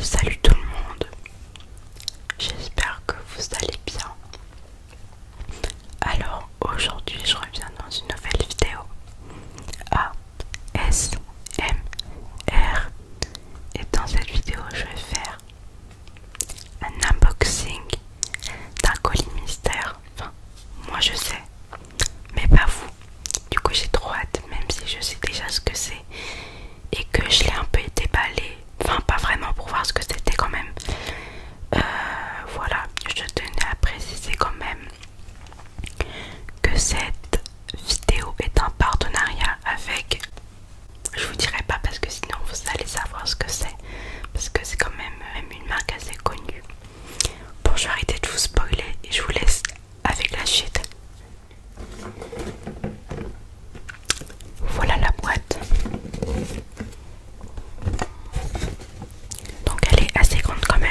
Salut tout le monde, j'espère que vous allez bien. Alors aujourd'hui je reviens dans une nouvelle vidéo ASMR et dans cette vidéo je vais faire un unboxing d'un colis mystère. Enfin, moi je sais, mais pas vous. Du coup j'ai trop hâte, même si je sais déjà ce que c'est et que je l'ai un peu déballé, enfin pas vraiment pour voir ce que c'était quand même. Euh, voilà, je tenais à préciser quand même que cette vidéo est en partenariat avec... Je vous dirai pas parce que sinon vous allez savoir ce que c'est, parce que c'est quand même une marque assez connue. Bon, je vais arrêter de vous spoiler et je vous laisse avec la chute. Voilà la boîte. Donc elle est assez grande quand même.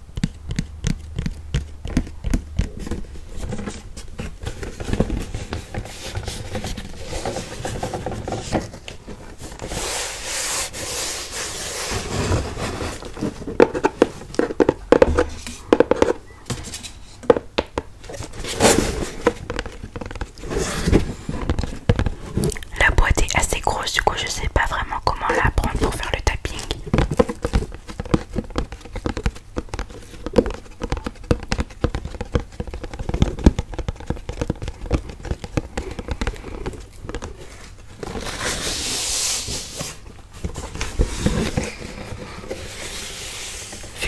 La boîte est assez grosse, du coup je ne sais pas vraiment comment la prendre pour faire le tapping. Vu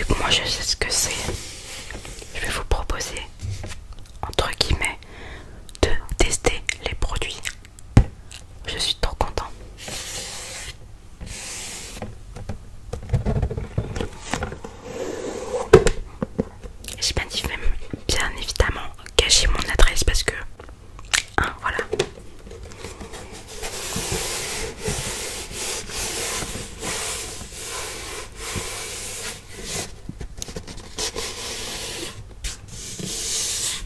que moi je sais ce que c'est, je vais vous proposer, entre guillemets, de tester les produits je suis trop content. J'ai bien dit bien évidemment cacher mon adresse parce que hein, voilà.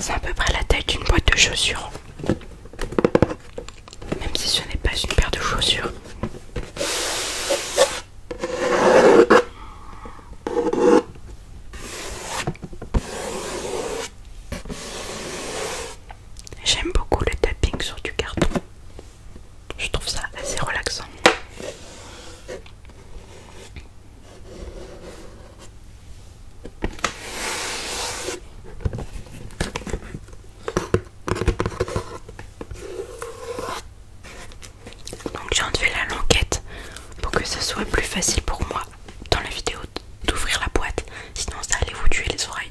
C'est à peu près la taille d'une boîte de chaussures. Même si ce n'est pas une paire de chaussures. J'aime beaucoup le tapping sur du carton. Je trouve ça assez relaxant. Donc j'ai enlevé la languette pour que ce soit plus facile pour moi dans la vidéo d'ouvrir la boîte, sinon ça allait vous tuer les oreilles.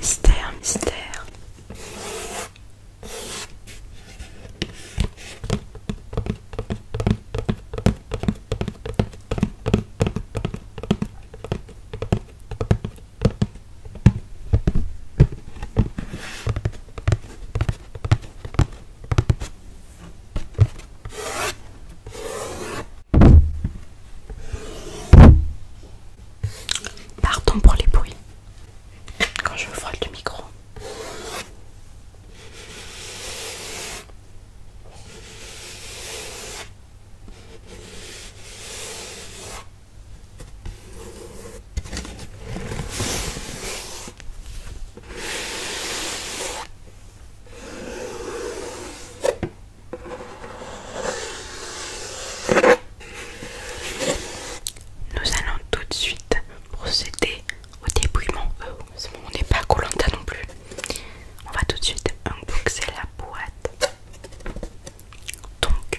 Mystère, mystère. Pardon pour les bruits quand je vois le micro. Nous allons tout de suite procéder au dépouillement. Euh, on n'est pas Colanta non plus. On va tout de suite unboxer la boîte. Donc,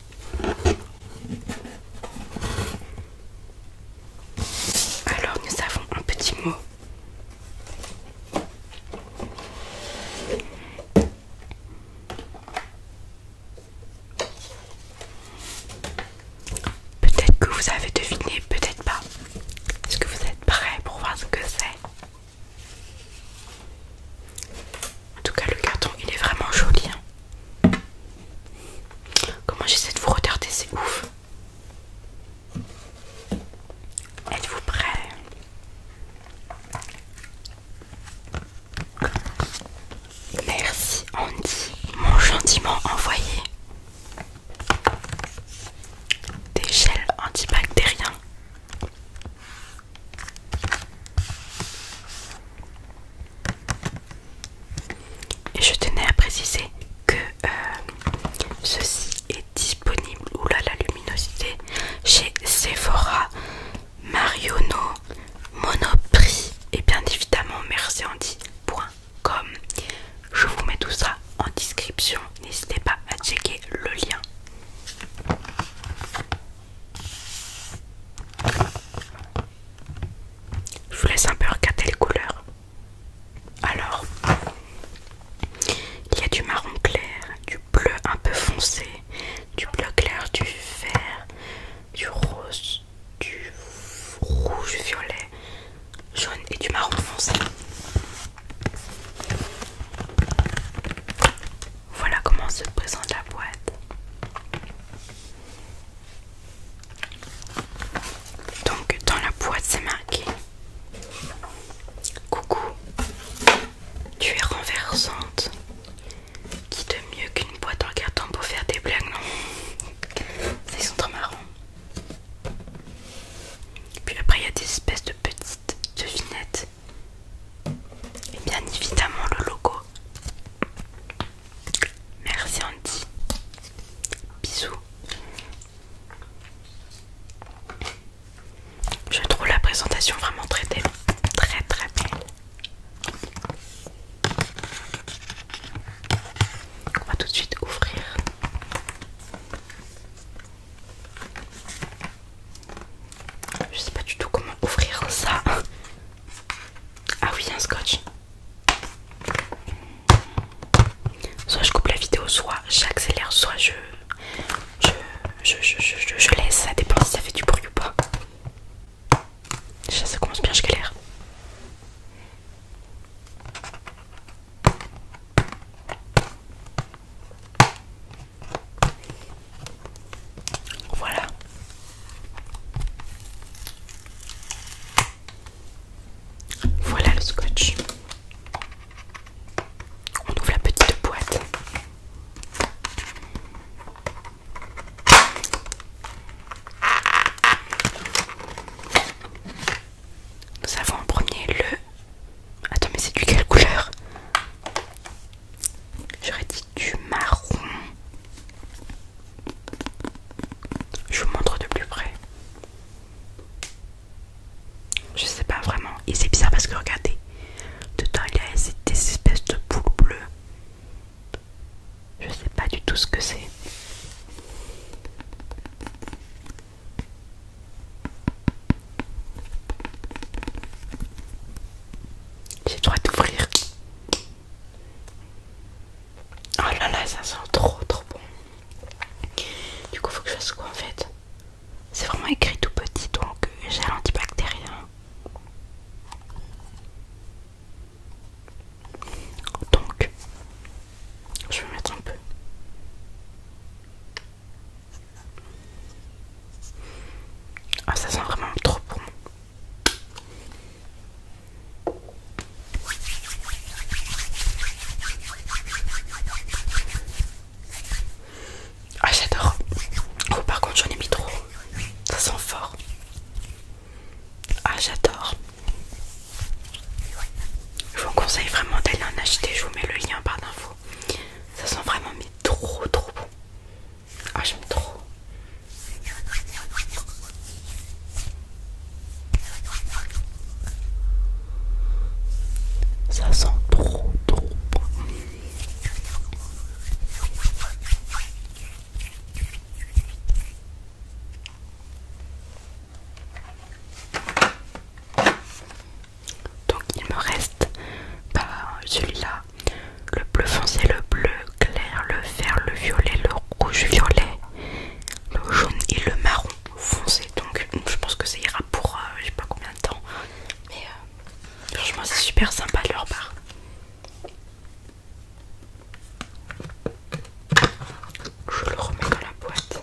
Alors nous avons un petit mot. Peut-être que vous avez deviné, peut-être pas. Est-ce que vous êtes prêts pour voir ce que c'est en tout cas, le carton il est vraiment joli. Hein. Comment j'essaie de vous retarder, c'est ouf. Êtes-vous prêts Merci Andy, mon gentiment envoyé. Des gels antibactériens et je tenais à préciser que euh, ceci est disponible, oula la luminosité, chez Sephora, Mariono, Monoprix et bien évidemment merciandi.com. Je vous mets tout ça en description, n'hésitez pas à checker le lien. Je vous laisse un peu regarder les couleurs. Alors, il y a du marron clair, du bleu un peu foncé, du bleu clair, du vert, du rose, du rouge violet, jaune et du marron foncé. Voilà comment se présente la boîte. Donc dans la boîte c'est marqué Coucou, tu es renversante. Qui de mieux qu'une boîte en carton pour faire des blagues, non ils sont trop marrants. Puis après, il y a des espèces de petites devinettes. Et bien évidemment, le logo Merci Andy. Bisous. Je trouve la présentation vraiment très Très très belle. On va tout de suite ouvrir. Je sais pas du tout comment ouvrir ça. Ah oui, un scotch. Soit je coupe la vidéo, soit j'accélère, soit je je, laisse. Ça dépend si ça fait du bruit ou pas. ça commence bien, je galère. Voilà. Voilà le scotch. On ouvre la petite boîte. Nous avons en premier le... Attends mais c'est du quelle couleur J'aurais dit du marron. Je vous montre de plus près. Je sais pas vraiment. Et c'est bizarre parce que regardez, dedans il y a des espèces de boules bleues. Je sais pas du tout ce que c'est. J'ai le droit d'ouvrir. Oh là là, ça sent trop trop bon. Du coup, faut que je fasse quoi en fait C'est vraiment écrit tout petit donc euh, j'ai l'antibactérien. Donc, je vais mettre un peu. Ah, ça sent vraiment trop bon. Ah j'adore. Oh par contre j'en ai mis trop. Ça sent fort. Ah j'adore. Je vous conseille vraiment d'aller en acheter. Je vous mets le lien par d'infos. Ça sent vraiment mais trop trop bon. Ah, j'aime trop. Ça sent trop, trop bon. Donc il me reste pas bah, celui-là, le bleu foncé, le bleu clair, le vert, le violet, le rouge violet, le jaune et le marron foncé. Donc hmm, je pense que ça ira pour j'ai euh, je sais pas combien de temps. Mais euh, franchement c'est super sympa de leur part. Je le remets dans la boîte.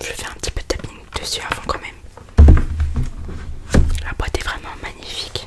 Je fais un petit peu de tapping dessus avant quand même. La boîte est vraiment magnifique.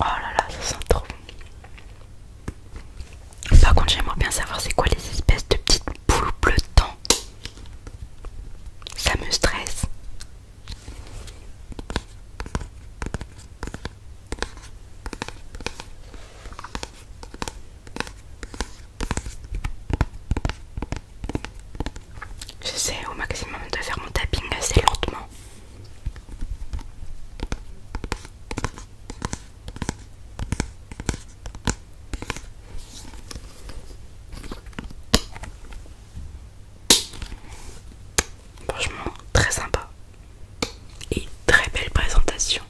Oh là là, ça sent trop Par contre, j'aimerais bien savoir c'est quoi les espèces de petites boules bleutant. Ça me stresse. J'essaie au maximum de faire mon tapping assez lentement. Franchement, très sympa et très belle présentation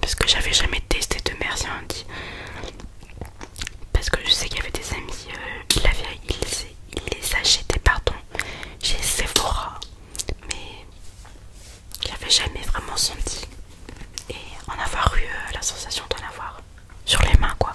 parce que j'avais jamais testé de merci dit parce que je sais qu'il y avait des amis euh, il il les achetait pardon chez Sephora mais j'avais jamais vraiment senti et en avoir eu euh, la sensation d'en avoir sur les mains quoi.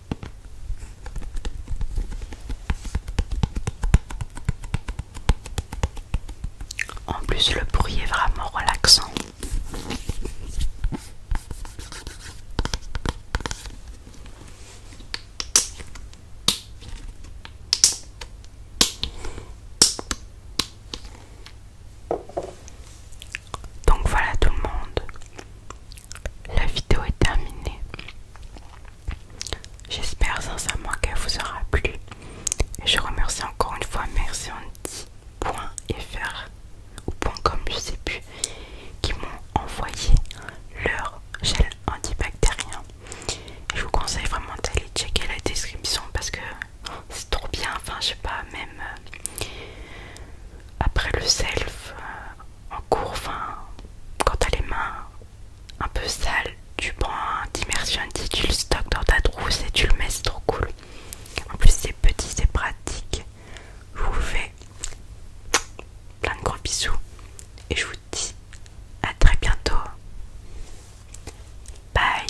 En plus, le bruit est vraiment relaxant. Donc voilà tout le monde. La vidéo est terminée. J'espère sincèrement qu'elle vous aura plu. je remercie encore une fois Merci .fr, ou .com je sais plus qui m'ont envoyé leur gel antibactérien. je vous conseille vraiment d'aller checker la description parce que c'est trop bien. Enfin, je sais pas, même euh, après le self, euh, en cours, enfin, quand t'as les mains un peu sales, tu prends un dit, tu le stockes dans ta trousse et tu le mets, c'est trop cool. En plus, c'est petit, c'est pratique. Je vous fais plein de gros bisous et je vous dis à très bientôt. Bye!